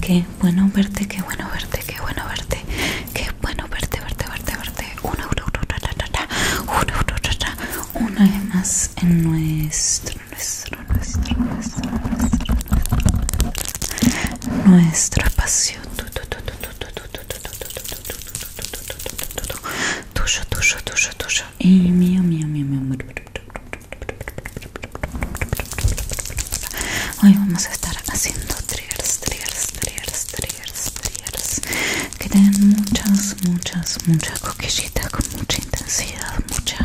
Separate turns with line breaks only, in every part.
Qué bueno verte, qué bueno verte, qué bueno verte, qué bueno verte, verte, verte, verte. Una, vez más en nuestro, nuestro, nuestro, nuestro, nuestro, nuestro Y mío, mío, mío. Hoy vamos a estar haciendo triggers, triggers, triggers, triggers, triggers que tienen muchas, muchas, muchas coquillitas con mucha intensidad, mucha,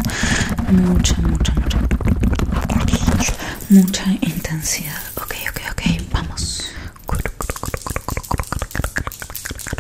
mucha, mucha, mucha, mucha intensidad. Ok, ok, ok, vamos.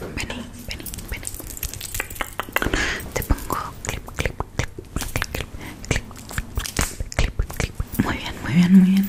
Vení, vení, vení. Te pongo clip, clip, clip, clip, clip, clip, clip, clip. Muy bien, muy bien, muy bien.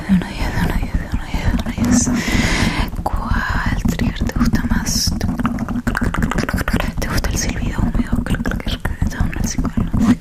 de de de ¿Cuál te gusta más? ¿Te gusta el silbido húmedo? Creo que es que está una el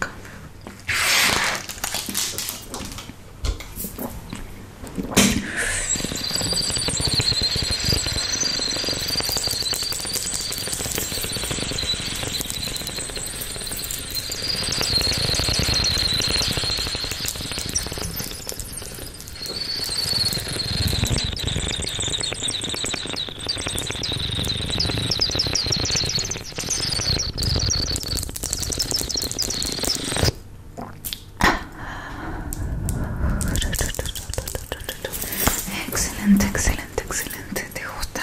Excelente, excelente, excelente. ¿Te gusta?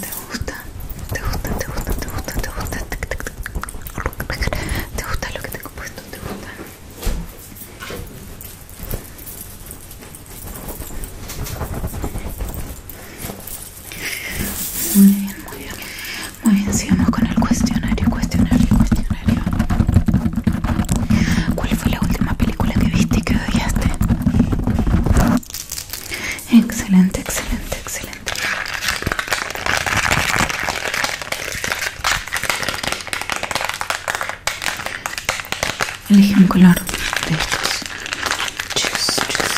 ¿Te gusta? ¿Te gusta? ¿Te gusta? ¿Te gusta? ¿Te gusta? ¿Te gusta lo que tengo puesto? ¿Te gusta? Muy bien, muy bien. Muy bien, sigamos con el cuestionario, cuestionario, cuestionario. ¿Cuál fue la última película que viste y que odiaste? Excelente, excelente, excelente. Elige un color de estos. Chus, chus,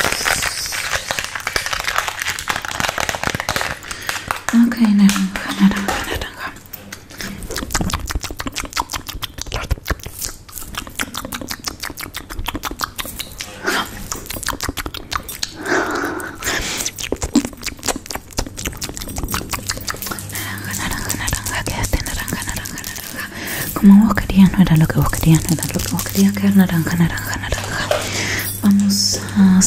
Ok, naranja, naranja, naranja. Naranja, naranja, ¿qué es naranja, naranja, naranja? Como vos querías, no era lo que vos querías, no era lo que vos querías, que era naranja, naranja, naranja. Vamos a...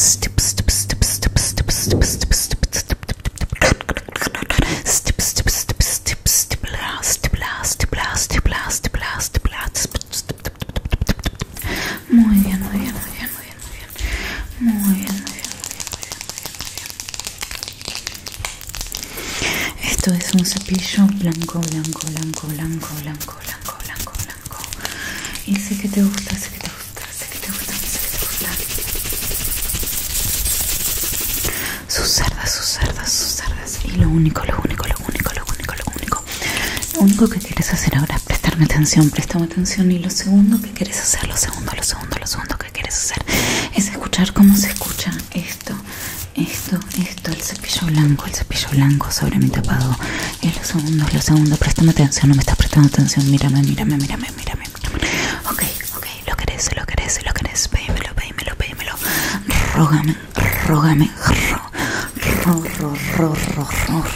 Muy bien, muy bien, muy bien, muy bien, muy bien. Muy bien, muy bien, muy bien, muy bien, muy bien. muy bien. Esto es un cepillo blanco, blanco, blanco, blanco, blanco, blanco, blanco, blanco. Y sé que te gusta, sé que te gusta, sé que te gusta, sé que te gusta. Su cerda, sus cerda, su cerda y lo único, lo único, lo único, lo único, lo único, lo único que quieres hacer ahora es prestarme atención, préstame atención y lo segundo que quieres hacer, lo segundo, lo segundo, lo segundo que quieres hacer es escuchar cómo se escucha esto, esto, esto, el cepillo blanco, el cepillo blanco sobre mi tapado y lo segundo, lo segundo, préstame atención, no me estás prestando atención, mírame, mírame, mírame, mírame, mírame, ok, ok, lo querés, lo querés, lo querés, pedímelo, pedímelo, pedímelo, rógame Rógame, rógame,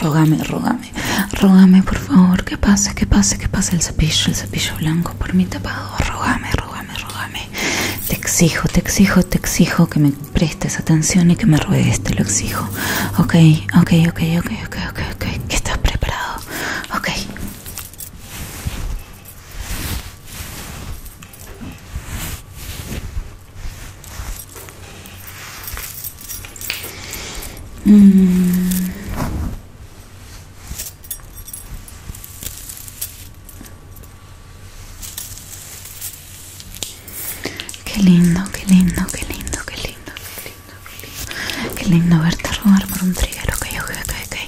rógame, rógame, rógame, por favor, que pase, que pase, que pase el cepillo, el cepillo blanco por mi tapado. Rógame, rógame, rógame. Te exijo, te exijo, te exijo que me prestes atención y que me ruegues, te lo exijo. Ok, ok, ok, ok, ok, ok, ¿Estás preparado? Ok. Mm. Qué lindo, qué lindo, qué lindo, qué lindo, qué lindo, qué lindo, qué lindo verte robar por un triguero que yo que, que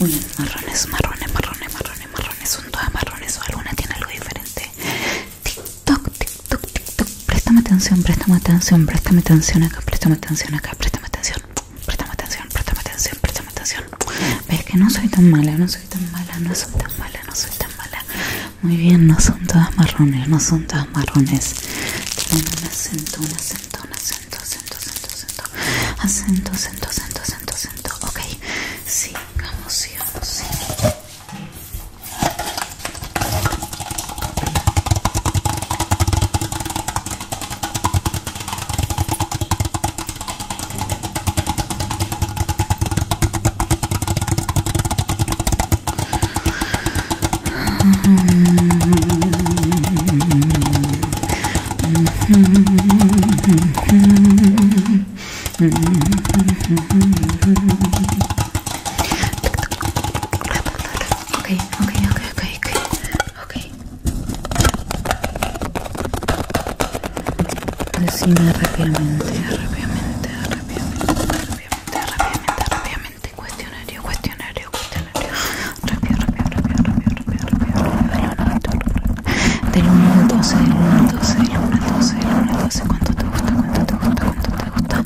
Uy, marrones, marrones, marrones, marrones, marrones Son todas marrones o alguna tiene algo diferente TikTok, TikTok, TikTok Préstame atención, préstame atención, préstame atención acá Préstame atención acá, préstame atención Préstame atención, préstame atención, préstame atención Ves que no soy tan mala, no soy tan mala, no soy tan mala, no soy tan mala Muy bien, no son todas marrones, no son todas marrones Tienen un acento, un asento, asento, asento, asento, acento, acento, Ok, ok, ok, ok, ok, ok Decime rápidamente, rápidamente, rápidamente, rápidamente, rápidamente, rápidamente, cuestionario, cuestionario. Del ¿Cuánto te gusta? ¿Cuánto te gusta? ¿Cuánto te gusta?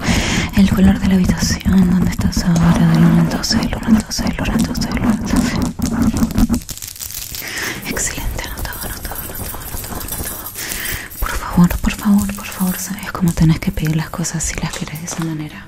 El color de la habitación, estás ahora? Del Excelente, anotado, anotado, anotado, anotado, Por favor, por favor, por favor, sabes cómo tenés que pedir las cosas si las quieres de esa manera.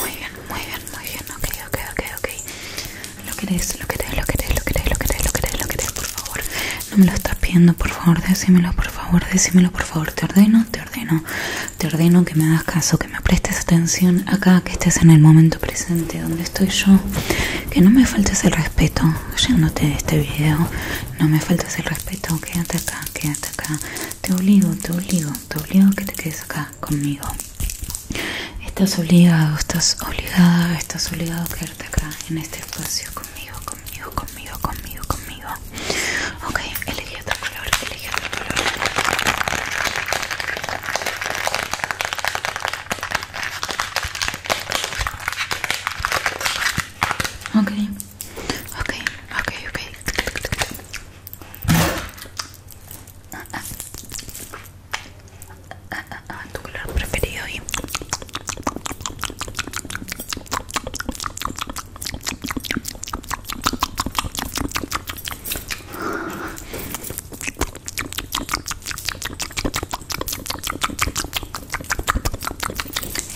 Muy bien, muy bien, muy bien. Ok, ok, ok, ok. Lo querés, lo querés, lo querés, lo querés, lo querés, lo querés, lo por favor. No me lo estás pidiendo, por favor, decímelo, por favor, decímelo, por favor. Te ordeno, te ordeno. Te ordeno que me hagas caso, que me prestes atención acá, que estés en el momento presente donde estoy yo. Que no me faltes el respeto. oyéndote de este video, no me faltes el respeto. Quédate acá quédate acá. Te obligo, te obligo, te obligo que te quedes acá conmigo. Estás obligado, estás obligada, estás obligado a quedarte acá en este espacio conmigo, conmigo, conmigo, conmigo, conmigo. Ok, elegí otro color, elegí otro color. Ok, ok, ok, ok tu color preferido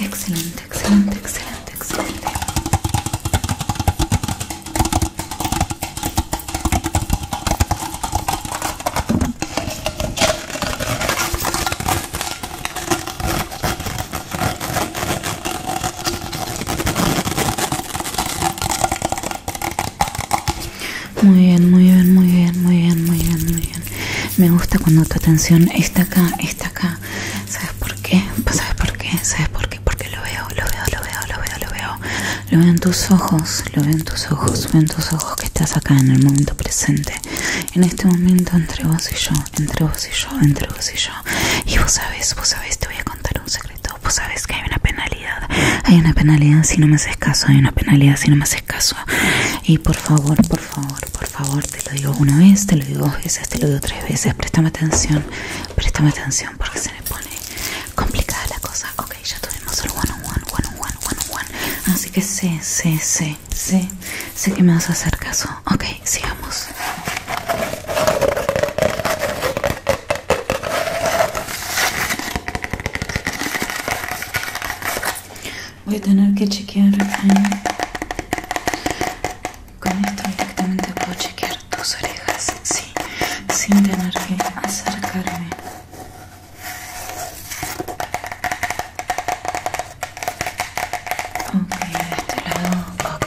excelente excelente, excelente, excelente, Muy bien, muy bien, muy bien, muy bien, muy bien, muy bien. Me gusta cuando tu atención está acá, está acá. ¿Sabes por qué? Pues, ¿Sabes por qué? ¿Sabes por qué? Porque lo veo, lo veo, lo veo, lo veo, lo veo. Lo veo en tus ojos, lo veo en tus ojos, veo en tus ojos que estás acá en el momento presente. En este momento entre vos y yo, entre vos y yo, entre vos y yo. Y vos sabés, vos sabes te voy a contar un secreto. Vos sabés que hay una penalidad. Hay una penalidad si no me haces caso, hay una penalidad si no me haces caso. Y por favor, por favor, por favor por favor, te lo digo una vez, te lo digo dos veces, te lo digo tres veces. Préstame atención, préstame atención porque se me pone complicada la cosa. Ok, ya tuvimos el one on one, one one, one one. Así que sé, sé, sé, sé, sé que me vas a hacer caso. Ok, sigamos. Voy a tener que chequear. Eh, con esto directamente puedo chequear tus orejas, sí, sin tener que acercarme. Ok, de este lado, ok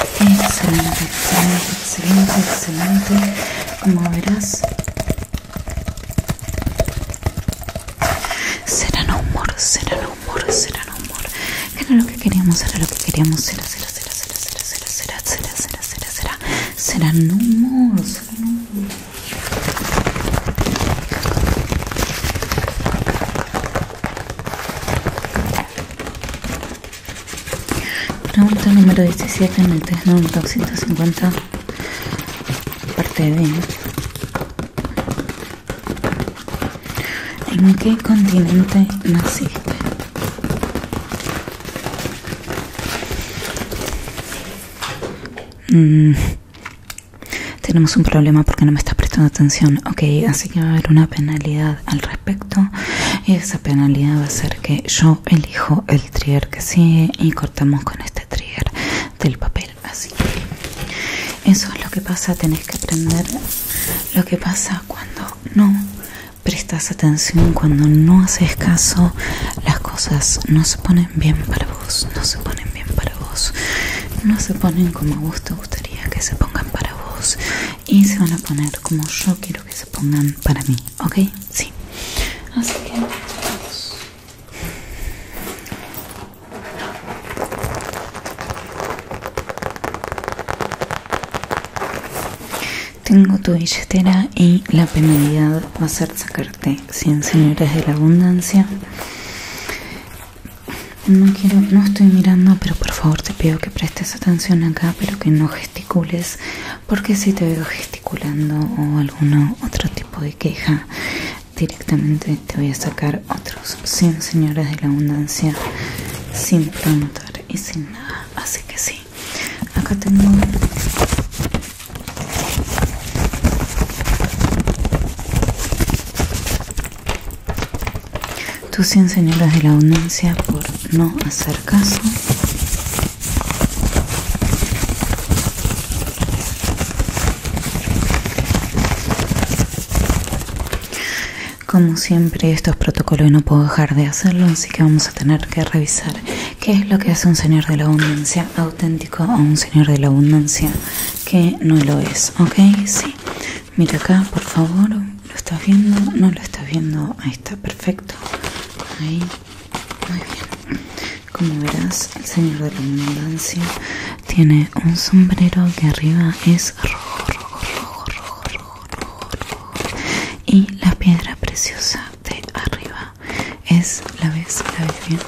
Excelente, excelente, excelente, Como verás, serán humor, será humor, humor. Era lo que queríamos, era lo que queríamos, será, será, será, será, será, será, será, será, Pregunta número 17 en el test 250 parte B. ¿En qué continente naciste? Mmm tenemos un problema porque no me estás prestando atención. Ok, así que va a haber una penalidad al respecto. Y esa penalidad va a ser que yo elijo el trigger que sigue y cortamos con este trigger del papel. Así eso es lo que pasa. Tenés que aprender lo que pasa cuando no prestas atención, cuando no haces caso. Las cosas no se ponen bien para vos, no se ponen bien para vos, no se ponen como a vos gustaría que se pongan para vos y se van a poner como yo quiero que se pongan para mí, ¿ok? Sí. Así que Tengo tu billetera y la penalidad va a ser sacar de 100 señoras de la abundancia no quiero no estoy mirando pero por favor te pido que prestes atención acá pero que no gesticules porque si te veo gesticulando o algún otro tipo de queja directamente te voy a sacar otros 100 señoras de la abundancia sin promotor y sin nada así que sí acá tengo tus 100 señoras de la abundancia por no hacer caso. Como siempre, estos protocolos no puedo dejar de hacerlo, así que vamos a tener que revisar qué es lo que hace un señor de la abundancia auténtico a un señor de la abundancia que no lo es, ¿ok? Sí, mira acá, por favor, ¿lo estás viendo? No lo estás viendo, ahí está, perfecto, ahí, muy bien. Como verás, el señor de la abundancia tiene un sombrero que arriba es rojo, rojo, rojo, rojo, rojo, rojo, rojo. y la piedra preciosa de arriba es, la vez la vez bien,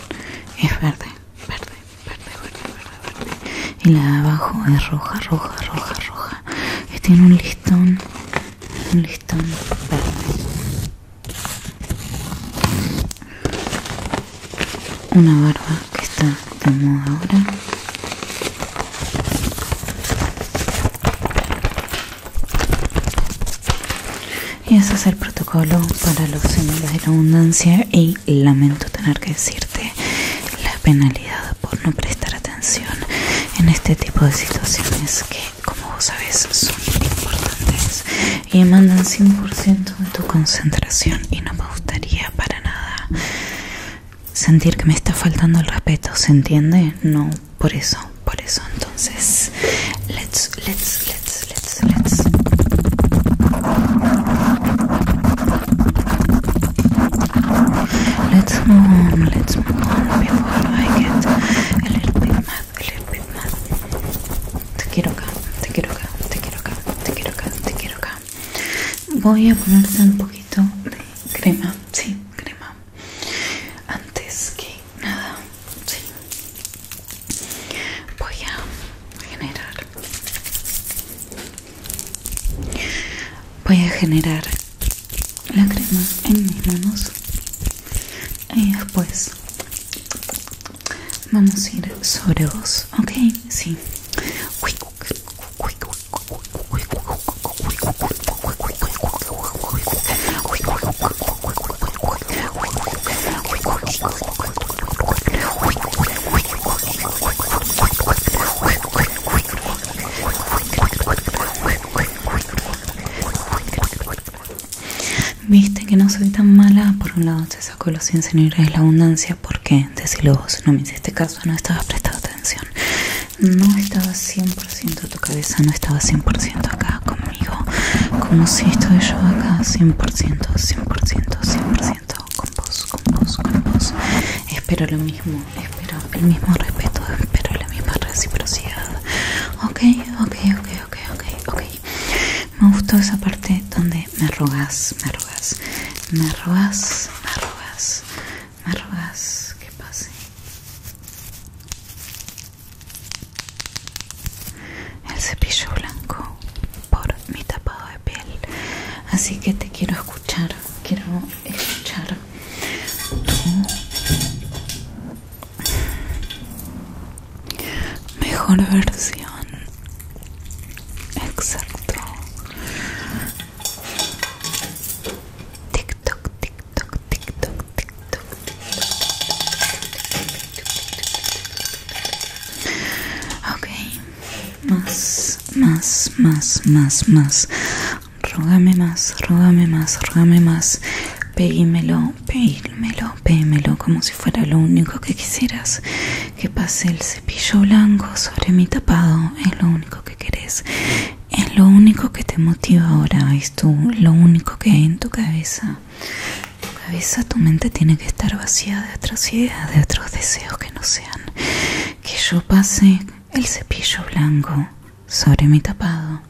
es verde, verde, verde, verde, verde, verde. Y la de abajo es roja, roja, roja, roja. Y tiene un listón, un listón verde. Una barba que está de moda ahora y ese es el protocolo para los símbolos de la abundancia y lamento tener que decirte la penalidad por no prestar atención en este tipo de situaciones que como vos sabes son importantes y mandan 100% de tu concentración y no me gustaría para nada sentir que me está faltando el respeto, ¿se entiende? No por eso, por eso. Entonces, let's, let's, let's, let's, let's. Let's move on, let's move on before I get a little bit mad, a little bit mad. Te quiero acá, te quiero acá, te quiero acá, te quiero acá, te quiero acá. Voy a ponerte un poquito de crema, sí, crema antes que nada sí, voy a generar voy a generar la crema en mis manos y después vamos a ir sobre vos ok sí Viste que no soy tan mala. Por un lado te saco los 100 señores de la abundancia. porque desde Decilo vos. No me este caso, no estaba prestando atención. No estaba siempre 100%, tu cabeza no estaba 100% acá conmigo, como si estoy yo acá 100%, 100%, 100% con vos, con vos, con vos. Espero lo mismo, espero el mismo respeto, espero la misma reciprocidad. Ok, ok, ok, ok, ok, Me gustó esa parte donde me arrugas, me rogas, me rogas, me rogas, me rogas que pase el cepillo blanco por mi tapado de piel así que te quiero escuchar quiero escuchar tu mejor versión exacto tic tic-toc, tic-toc, tic-toc, tic-toc. Ok, más, más, más, más, más. Rógame más, rógame más, rógame más. Péguimelo, péguimelo, péguimelo como si fuera lo único que quisieras. Que pase el cepillo blanco sobre mi tapado, es lo único que querés es lo único que te motiva ahora, es tú, lo único que hay en tu cabeza. Tu cabeza, tu mente tiene que estar vacía de otras ideas, de otros deseos que no sean. Que yo pase el cepillo blanco sobre mi tapado.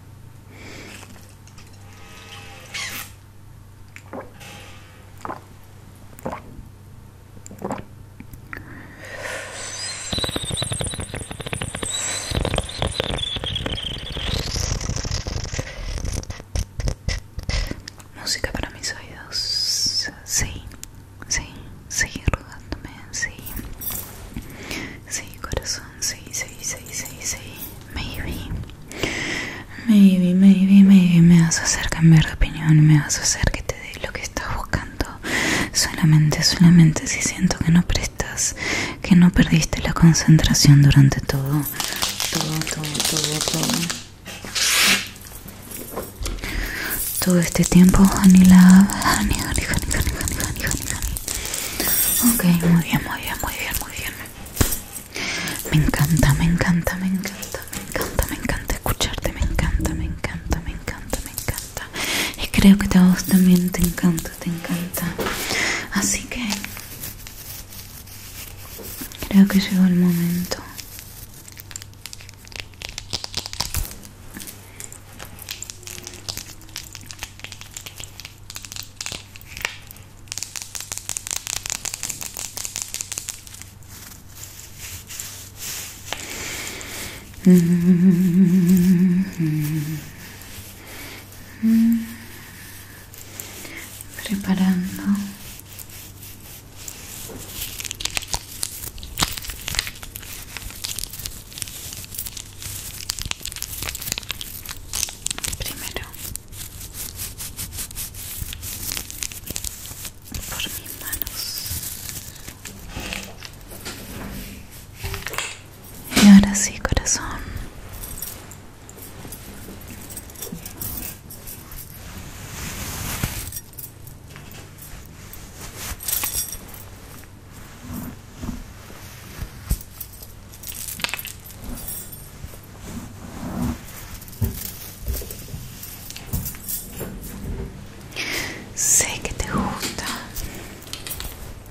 Música para mis oídos. Sí, sí, sigue rogándome, sí. Sí, corazón, sí, sí, sí, sí, sí. Maybe. Maybe, maybe, maybe me vas a hacer cambiar de opinión, me vas a hacer que te dé lo que estás buscando. Solamente, solamente si siento que no preciso que no perdiste la concentración durante todo, todo, todo, todo, todo. este tiempo, honey Ok, muy bien, muy bien, muy bien, muy bien. Me encanta, me encanta, me encanta, me encanta, me encanta escucharte, me encanta, me encanta, me encanta, me encanta y creo que a vos también te encanta, te encanta. Así que creo que llegó el momento. Mm. preparando primero por mis manos y ahora sí, corazón. Sé que te gusta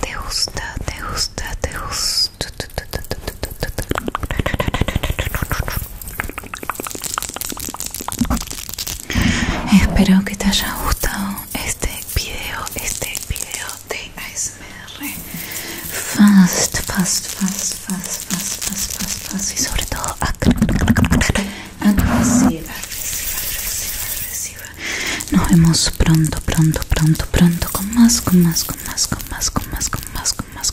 Te gusta, te gusta, te gusta. Espero que te haya gustado este video, este video de ASMR Fast, fast, fast, fast, fast, fast, fast, fast y sobre todo agresiva, Nos vemos pronto, pronto, pronto, pronto con con más, con más, con más, con más, con más, con más